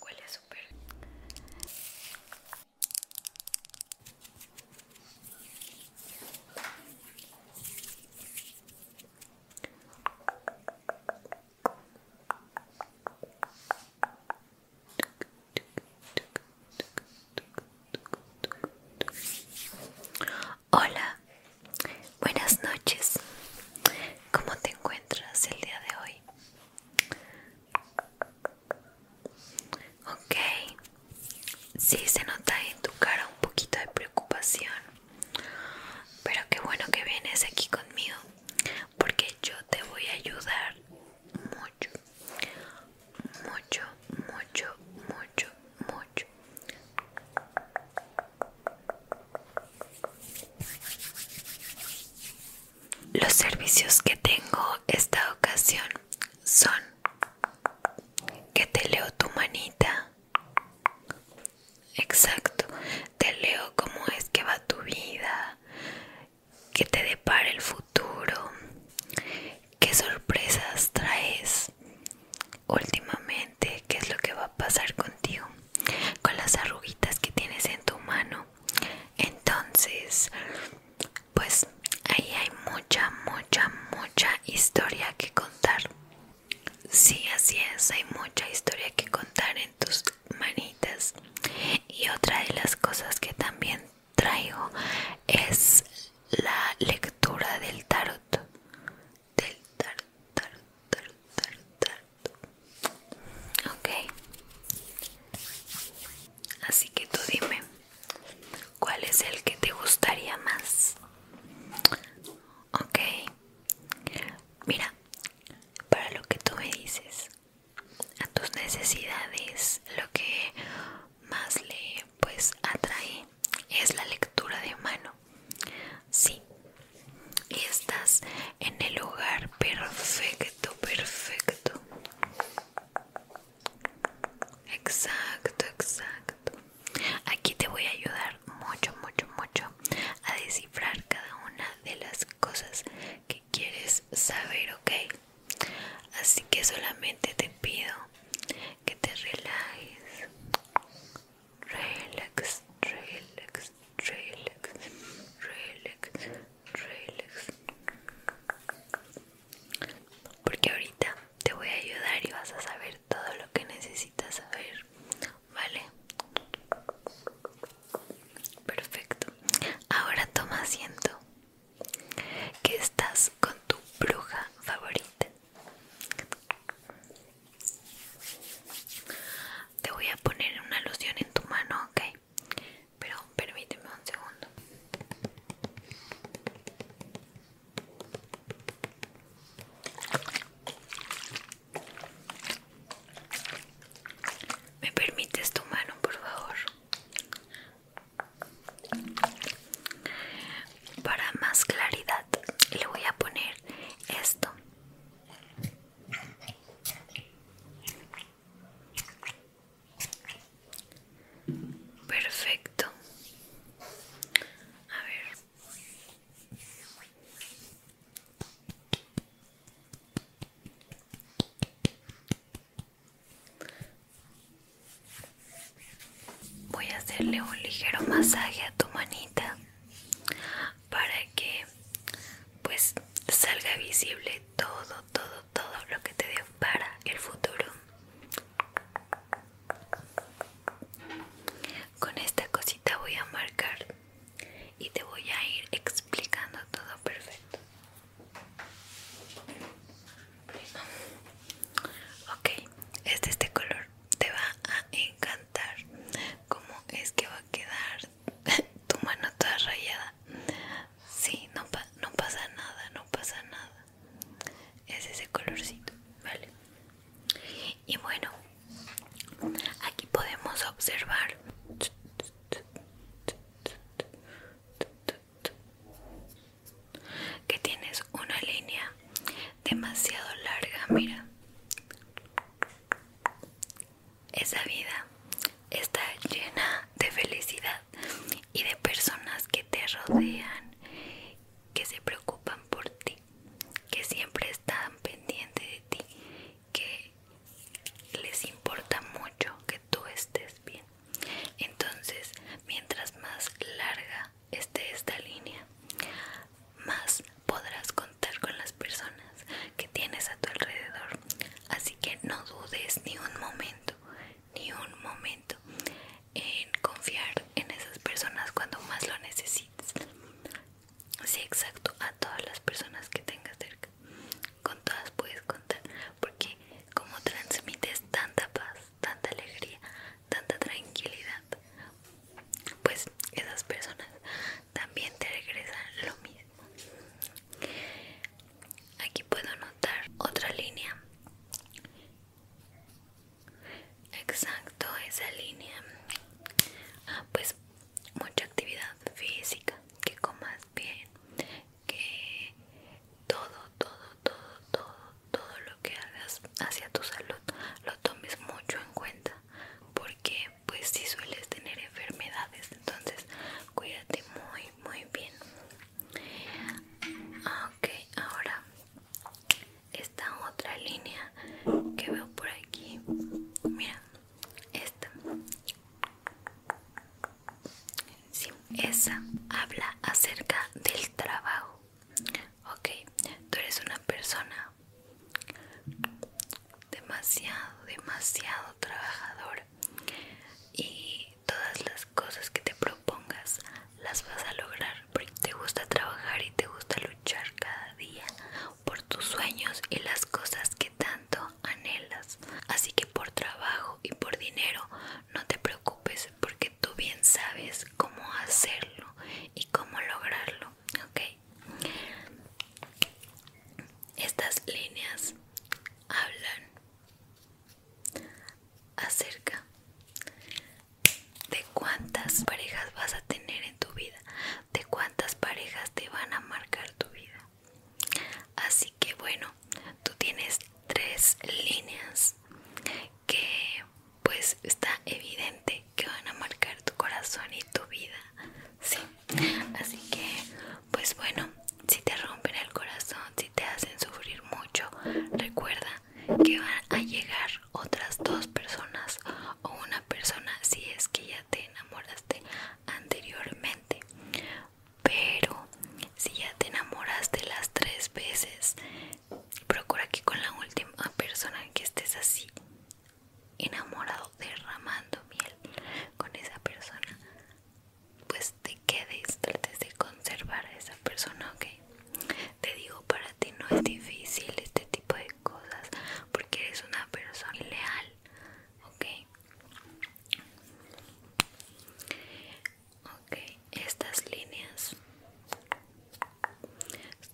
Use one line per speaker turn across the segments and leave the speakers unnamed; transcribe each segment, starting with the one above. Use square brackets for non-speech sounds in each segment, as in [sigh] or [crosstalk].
Huele súper. Hola, buenas noches. ¿Cómo te encuentras el día de hoy? Ok, Si se nota en tu cara un poquito de preocupación, pero qué bueno que vienes aquí conmigo, porque yo te voy a ayudar mucho, mucho, mucho, mucho, mucho. Los servicios que tengo esta ocasión son que te leo tu manita. Exacto, te leo cómo es que va tu vida, que te depara el futuro, qué sorpresas traes últimamente, qué es lo que va a pasar contigo con las arruguitas que tienes en tu mano entonces pues ahí hay mucha mucha mucha historia que contar sí así es hay mucha historia que contar en tus manitas y otra de las cosas que también traigo es la lectura del tarot del tarot Ok. Así que tú dime, ¿cuál es el que te gustaría más? Ok. Mira, para lo que tú me dices, a tus necesidades, lo que más le pues atrae es la lectura de mano. Sí, y estás en el lugar perfecto, perfecto. Exacto, exacto. Aquí te voy a ayudar mucho, mucho, mucho a descifrar cada una de las cosas que quieres saber, ¿ok? Así que solamente te pido que te relajes. Relax, relax, relax, relax, relax. Porque ahorita te voy a ayudar y vas a saber todo lo que necesitas saber, ¿vale? Perfecto. Ahora toma asiento. Que estás con tu bruja favorita. Te voy a poner una loción en tu mano, ok. Pero permíteme un segundo. ¿Me permites tu mano, por favor? Para más claridad le voy a poner esto Perfecto. A ver. Voy a hacerle un ligero masaje a tu manita para que pues salga visible todo todo todo lo que te dé para el futuro con esta cosita voy a marcar y te voy a ir explicando todo perfecto ok este este color te va a encantar como es que va a quedar [laughs] tu mano está rayada. si, no, no pasa nada, no pasa nada. Es ese colorcito, ¿vale? Y bueno, aquí podemos observar que tienes una línea demasiado larga, mira esa vida está llena de felicidad y de personas que te rodean, que se preocupan por ti, que siempre están pendientes de ti, que les importa mucho que tú estés bien. Entonces, mientras más larga esté esta línea, más podrás contar con las personas que tienes a tu alrededor. Así que no dudes ni un momento, ni un momento en confiar en esas personas cuando más lo necesites. Sí, exacto, a todas las personas que tengas cerca. Con todas puedes contar, porque como transmites tanta paz, tanta alegría, tanta tranquilidad, pues esas personas también te regresa lo mismo aquí puedo notar otra línea exacto esa línea ah, pues mucha actividad física que comas bien que todo todo todo todo todo lo que hagas hacia tu salud lo tomes mucho en cuenta porque pues si sueles tener enfermedades entonces cuídate muy muy bien ah, ok ahora esta otra línea que veo por aquí mira esta esa habla acerca del trabajo ok tú eres una persona demasiado, demasiado trabajador y todas las cosas que te propongas las vas a lograr porque te gusta trabajar y te gusta luchar cada día por tus sueños y las cosas que tanto anhelas. Así que por trabajo y por dinero no te preocupes porque tú bien sabes cómo hacerlo y cómo lograrlo, ¿ok? Estas líneas hablan acerca de cuántas parejas vas a tener en tu vida, de cuántas parejas te van a marcar tu vida. Así que bueno, tú tienes tres líneas que pues está evidente que van a marcar tu corazón y tu vida sí así que pues bueno si te rompen el corazón si te hacen sufrir mucho recuerda que van a llegar otras dos personas o una persona si es que ya te enamoraste anteriormente pero si ya te enamoraste las tres veces procura que con la última persona que estés así enamorado derramando miel con esa persona pues te quedes trates de conservar a esa persona ok te digo para ti no es difícil este tipo de cosas porque eres una persona leal ok ok estas líneas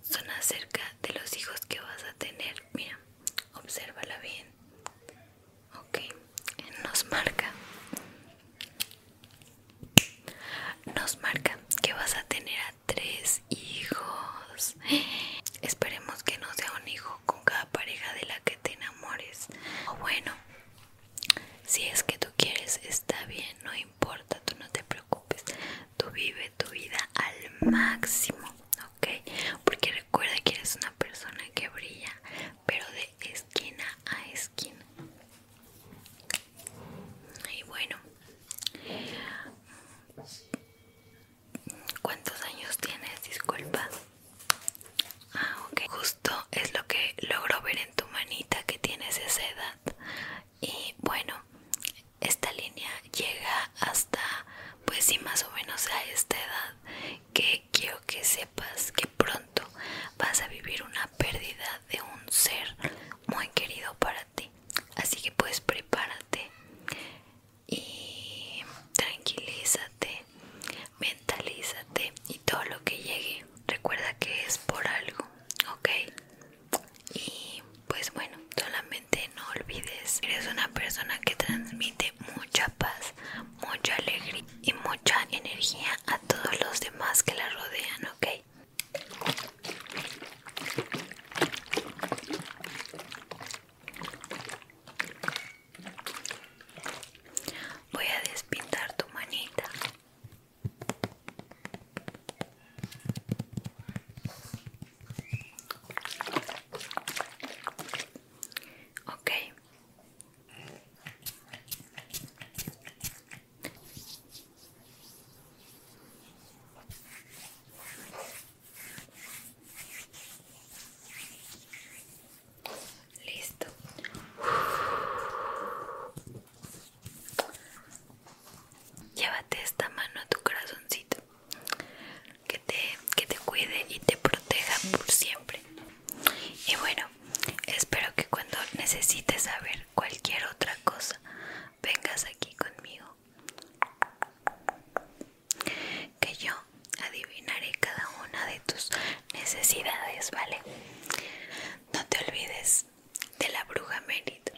son acerca de los hijos que vas a tener mira, obsérvala bien. Ok, nos marca. Nos marca que vas a tener a tres hijos. Esperemos que no sea un hijo con cada pareja de la que te enamores. O bueno, si es que tú quieres, está bien, no importa, tú no te preocupes tú vive tu vida al máximo, ¿ok? Porque recuerda que eres una persona que brilla, pero de esquina a esquina. Y bueno, ¿cuántos años tienes? Disculpa. Ah, ok. Justo es lo que logro ver en tu manita que tienes esa edad y bueno esta línea llega hasta pues sí más o menos a esta edad que quiero que sepas que pronto vas a vivir una pérdida de un ser muy querido para ti así que pues prepárate y tranquilízate mentalízate y todo lo que llegue recuerda que es por algo ok y pues bueno, solamente no olvides, eres una persona que transmite mucha paz, mucha alegría y mucha energía a todos los demás que la rodean, ¿ok? Voy a despintar tu manita. Okay. Listo. Llévate esta mano a tu corazoncito que te, que te cuide y te proteja por siempre. Y bueno, espero que cuando necesites saber cualquier otra cosa, vengas aquí conmigo. Que yo adivinaré cada una de tus necesidades, ¿vale? No te olvides de la bruja Merit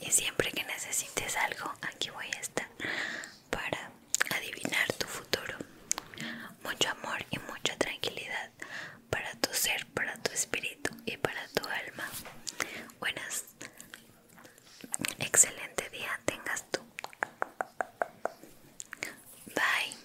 y siempre que necesites algo aquí voy a estar para adivinar tu futuro mucho amor y mucha tranquilidad para tu ser para tu espíritu y para tu alma buenas excelente día tengas tú bye